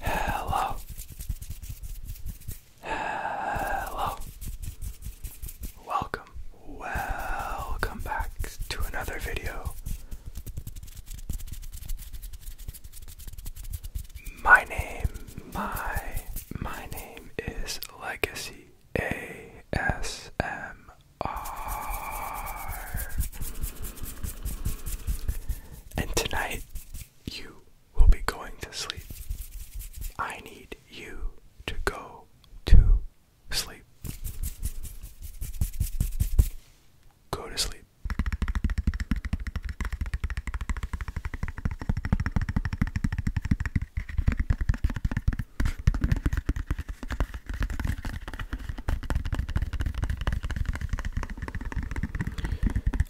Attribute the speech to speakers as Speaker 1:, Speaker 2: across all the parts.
Speaker 1: Hello. Hello. Welcome. Welcome back to another video. My name, my my name is Legacy A S M. And tonight, you will be going to sleep. I need you to go to sleep. Go to sleep.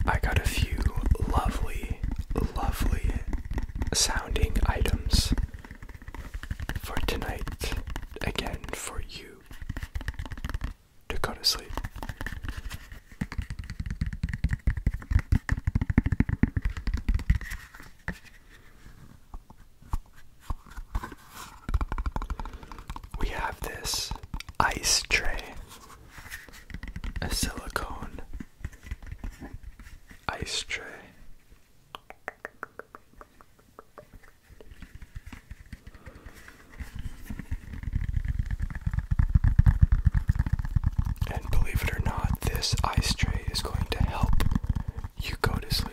Speaker 1: I got a few lovely, lovely sounding items for tonight, again for you to go to sleep. We have this ice tray, a silicone ice tray. And believe it or not, this ice tray is going to help you go to sleep.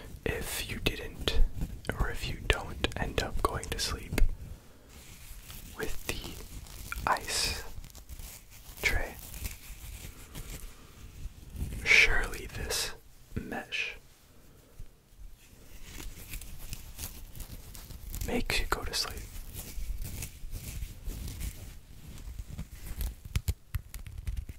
Speaker 1: if you didn't or if you don't end up going to sleep with the ice tray. Surely this mesh makes you go to sleep.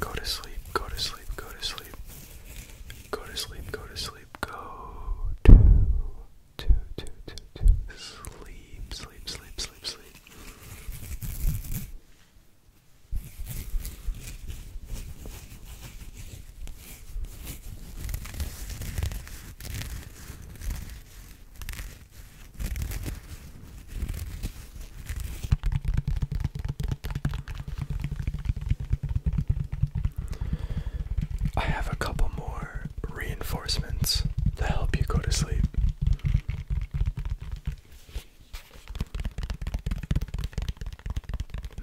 Speaker 1: Go to sleep, go to sleep, go to sleep. Go to sleep, go to sleep, go to, to, sleep, sleep, sleep, sleep, sleep. I have a couple more reinforcements to help you go to sleep.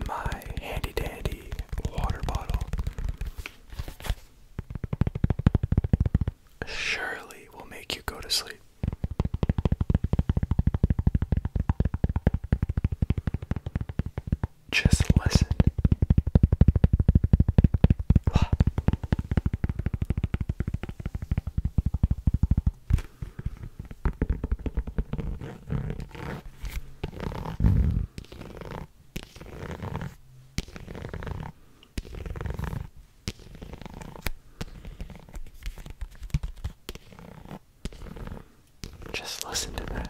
Speaker 1: My handy dandy water bottle surely will make you go to sleep. Just listen. Just listen to that.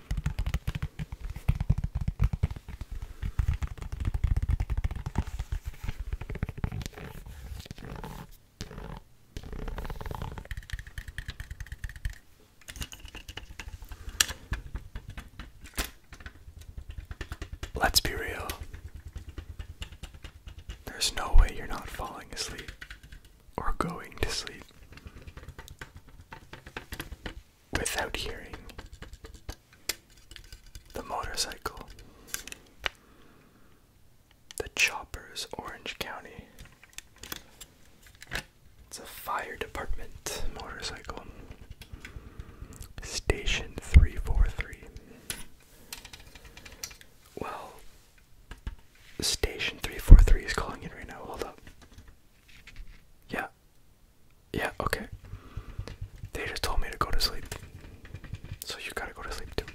Speaker 1: Let's be real. There's no way you're not falling asleep or going to sleep without hearing the motorcycle, the choppers, Orange County. It's a fire department motorcycle. Station 343. Well, Station 343 is calling in right now. Hold up. Yeah. Yeah, okay. They just told me to go to sleep. So you gotta go to sleep too.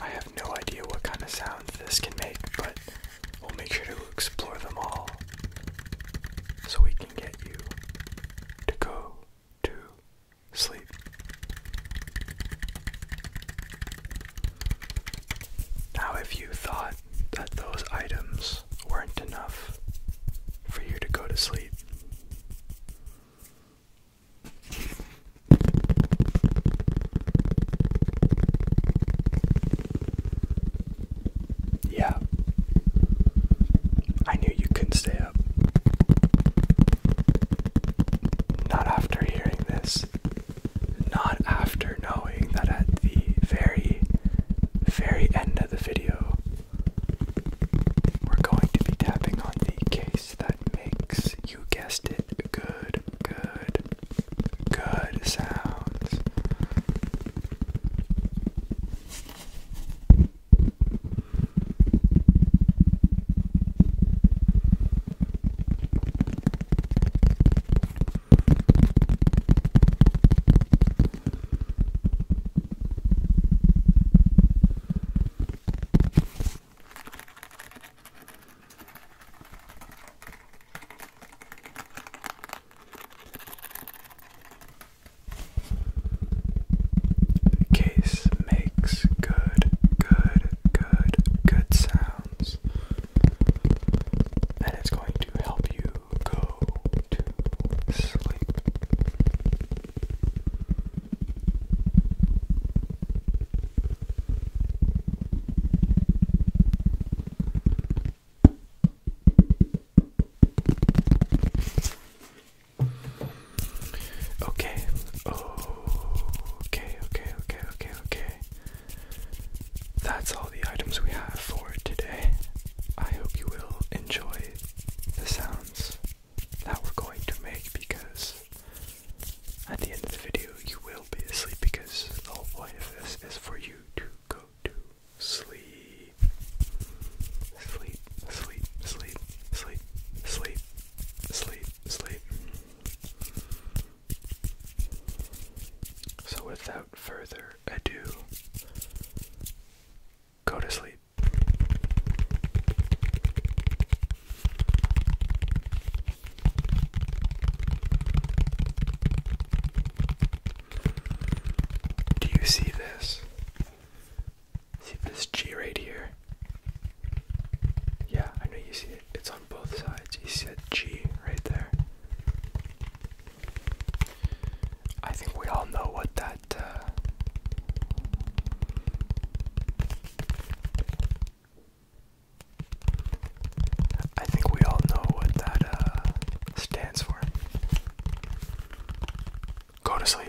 Speaker 1: I have no idea what kind of sounds this can make, but we'll make sure to explore them all so we can get you to go to sleep. Now, if you thought that those items weren't enough for you to go to sleep, yeah, I knew you couldn't stay not after hearing this. Not after knowing that at the very, very end of the video, we're going to be tapping on the case that makes, you guessed it, good, good, good sounds. The case makes good, good, good, good sounds. And it's going to help you go to sleep. Okay. okay, okay, okay, okay, okay. That's all the items we have for today. I hope you will enjoy the sounds that we're going to make because at the end of the video you will be asleep because the whole point of this is for you to go to sleep. Sleep, sleep, sleep, sleep, sleep, Sleep, sleep. So, without further ado, go to sleep. Do you see this? See this G right here? Yeah, I know you see it. It's on both sides. You see that G right there? I think we all know what that. Uh, I think we all know what that uh, stands for. Go to sleep.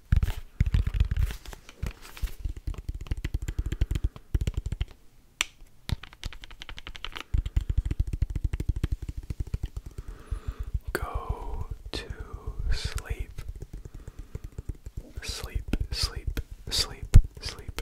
Speaker 1: Go to sleep. Sleep, sleep, sleep, sleep.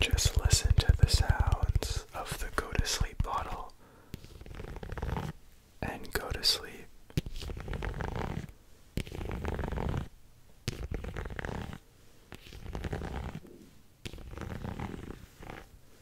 Speaker 1: Just listen to the sounds of the go to sleep bottle and go to sleep.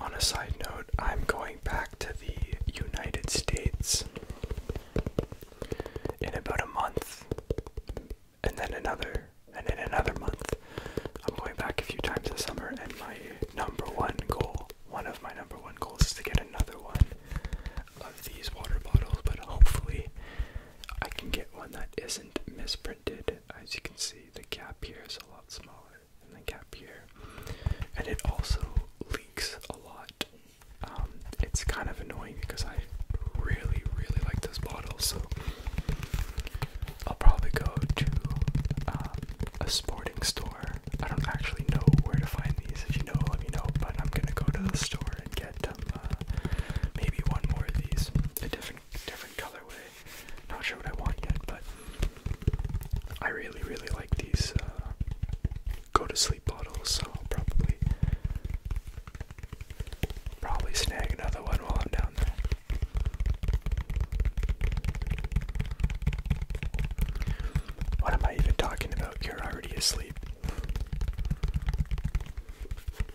Speaker 1: On a side note, I'm going back to the United States in about a month, and then another, and in another month. I'm going back a few times this summer, and my number one goal, one of my number one goals, is to get another one of these water bottles, but hopefully I can get one that isn't misprinted. As you can see, the cap here is a lot smaller than the cap here, and it also leaks a lot. Um, it's kind of annoying because I really, really like this bottle, so I'll probably go to um, a sporting store. I don't actually know where to find these. If you know, let me know. But I'm gonna go to the store and get. Um, uh, maybe one more of these, a different different colorway. Not sure what I want yet, but I really really like these uh, go to sleep bottles. So I'll probably probably snag another one while I'm down there. What am I even talking about? You're already asleep.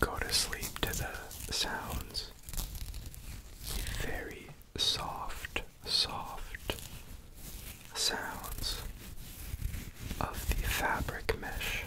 Speaker 1: Go to sleep to the sounds. Very soft soft sounds of the fabric mesh.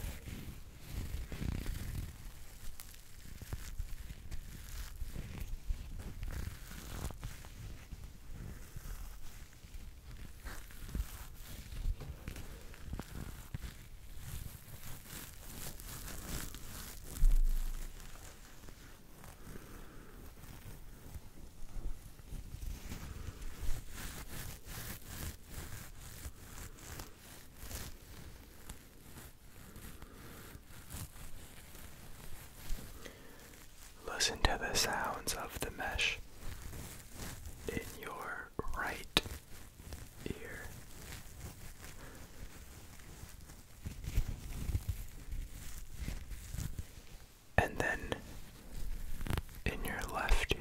Speaker 1: Listen to the sounds of the mesh in your right ear and then in your left ear.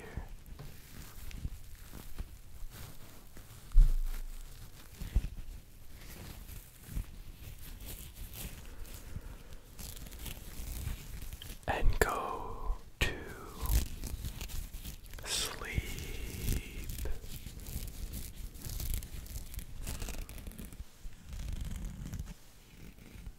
Speaker 1: And go to sleep.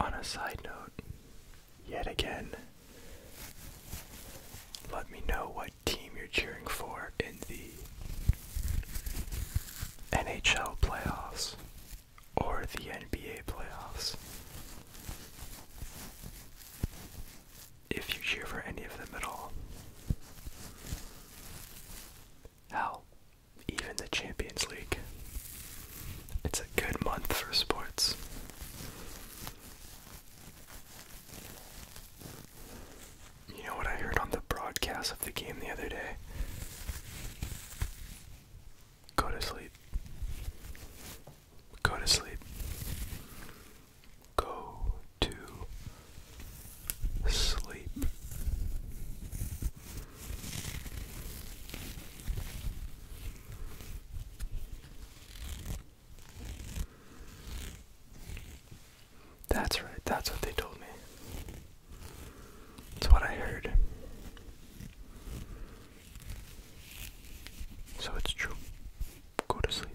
Speaker 1: On a side note, yet again, let me know what team you're cheering for in the NHL playoffs or the NBA playoffs. If you cheer for any of them at all. Hell, even the Champions League. It's a good month for sports. You know what I heard on the broadcast of the game the other day? Go to sleep. Go to sleep. Go to sleep. That's right, that's what they told me. That's what I heard. So it's true. Go to sleep.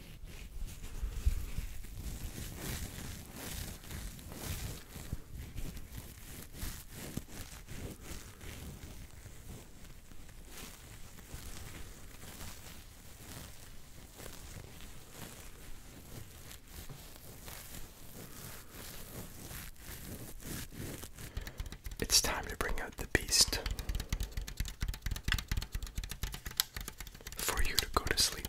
Speaker 1: It's time to bring out the beast for you to go to sleep.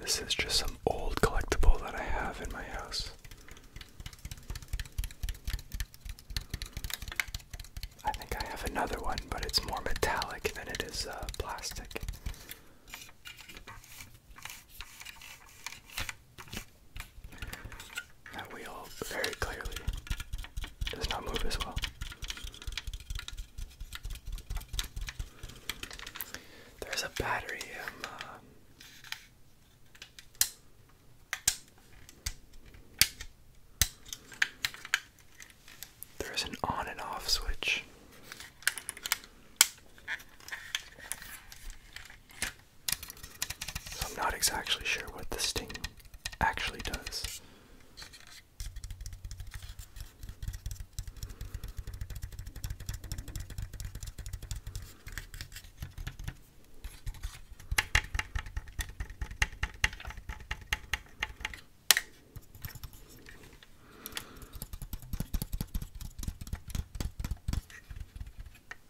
Speaker 1: This is just some old collectible that I have in my house. I think I have another one, but it's more metallic than it is uh, plastic. That wheel very clearly does not move as well. There's a battery. Um, uh, there's an on and off switch. So I'm not exactly sure what the sting actually does.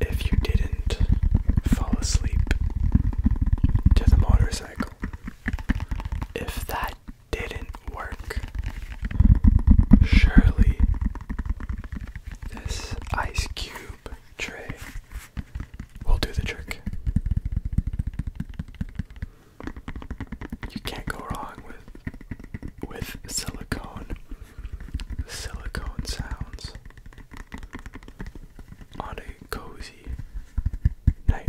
Speaker 1: If you didn't fall asleep to the motorcycle, if that didn't work, surely this ice cube tray will do the trick. You can't go wrong with with silicone silicone sounds on a cozy night.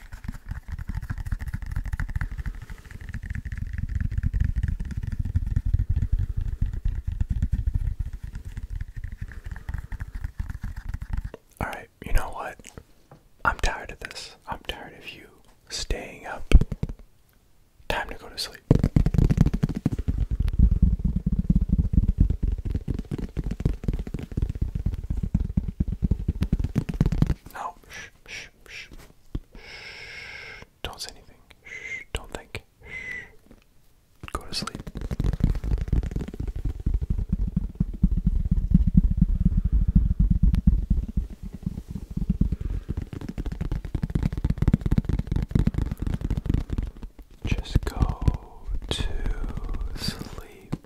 Speaker 1: Alright, you know what? I'm tired of this. I'm tired of you staying up. Time to go to sleep. No. Shh, shh, shh. Shh. Don't say anything. Shh. Don't think. Shh. Go to sleep. Just go to sleep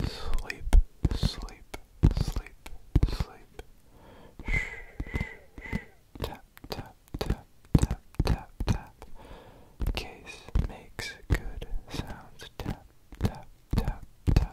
Speaker 1: sleep, sleep, sleep, sleep. Shh, shh, Tap, tap, tap, tap, tap, tap. Case makes good sounds. Tap, tap, tap, tap.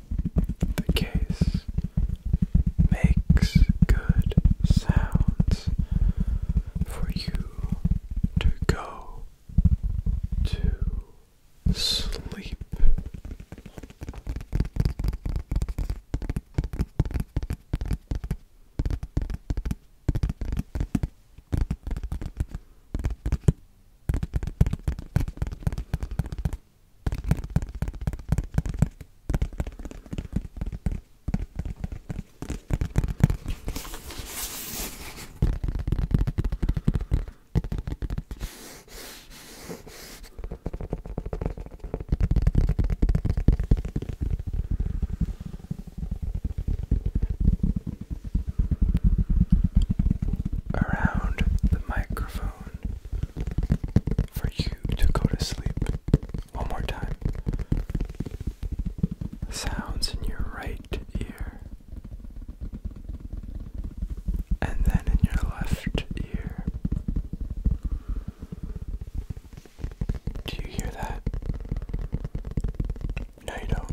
Speaker 1: The case makes good sounds for you to go to sleep. Around the microphone for you to go to sleep. One more time. sounds in your right ear, and then in your left ear. Do you hear that? No, you don't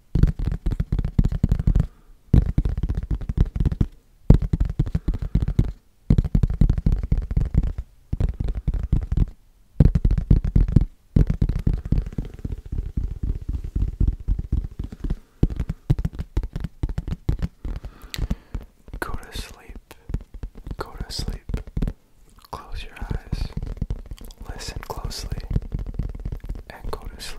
Speaker 1: Go to sleep. Go to sleep. Close your eyes. Listen closely and go to sleep.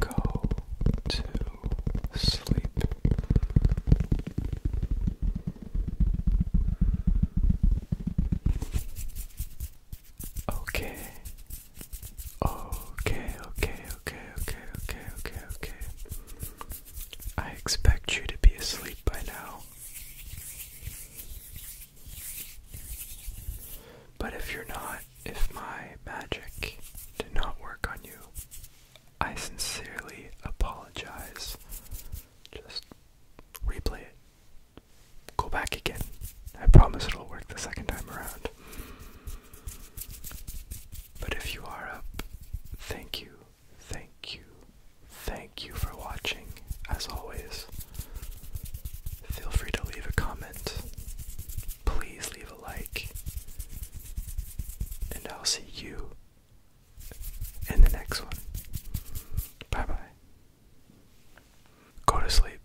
Speaker 1: Go to sleep. Okay, Okay, okay, okay, okay, okay, okay, I expect you to be asleep by now. But if you're not, if my magic did not work on you, I sincerely apologize. Just replay it go back again. I promise it'll work the second time around. But if you are up, thank you, thank you, thank you for watching, as always. Feel free to leave a comment. Please leave a like. And I'll see you in the next one. Bye bye. Go to sleep.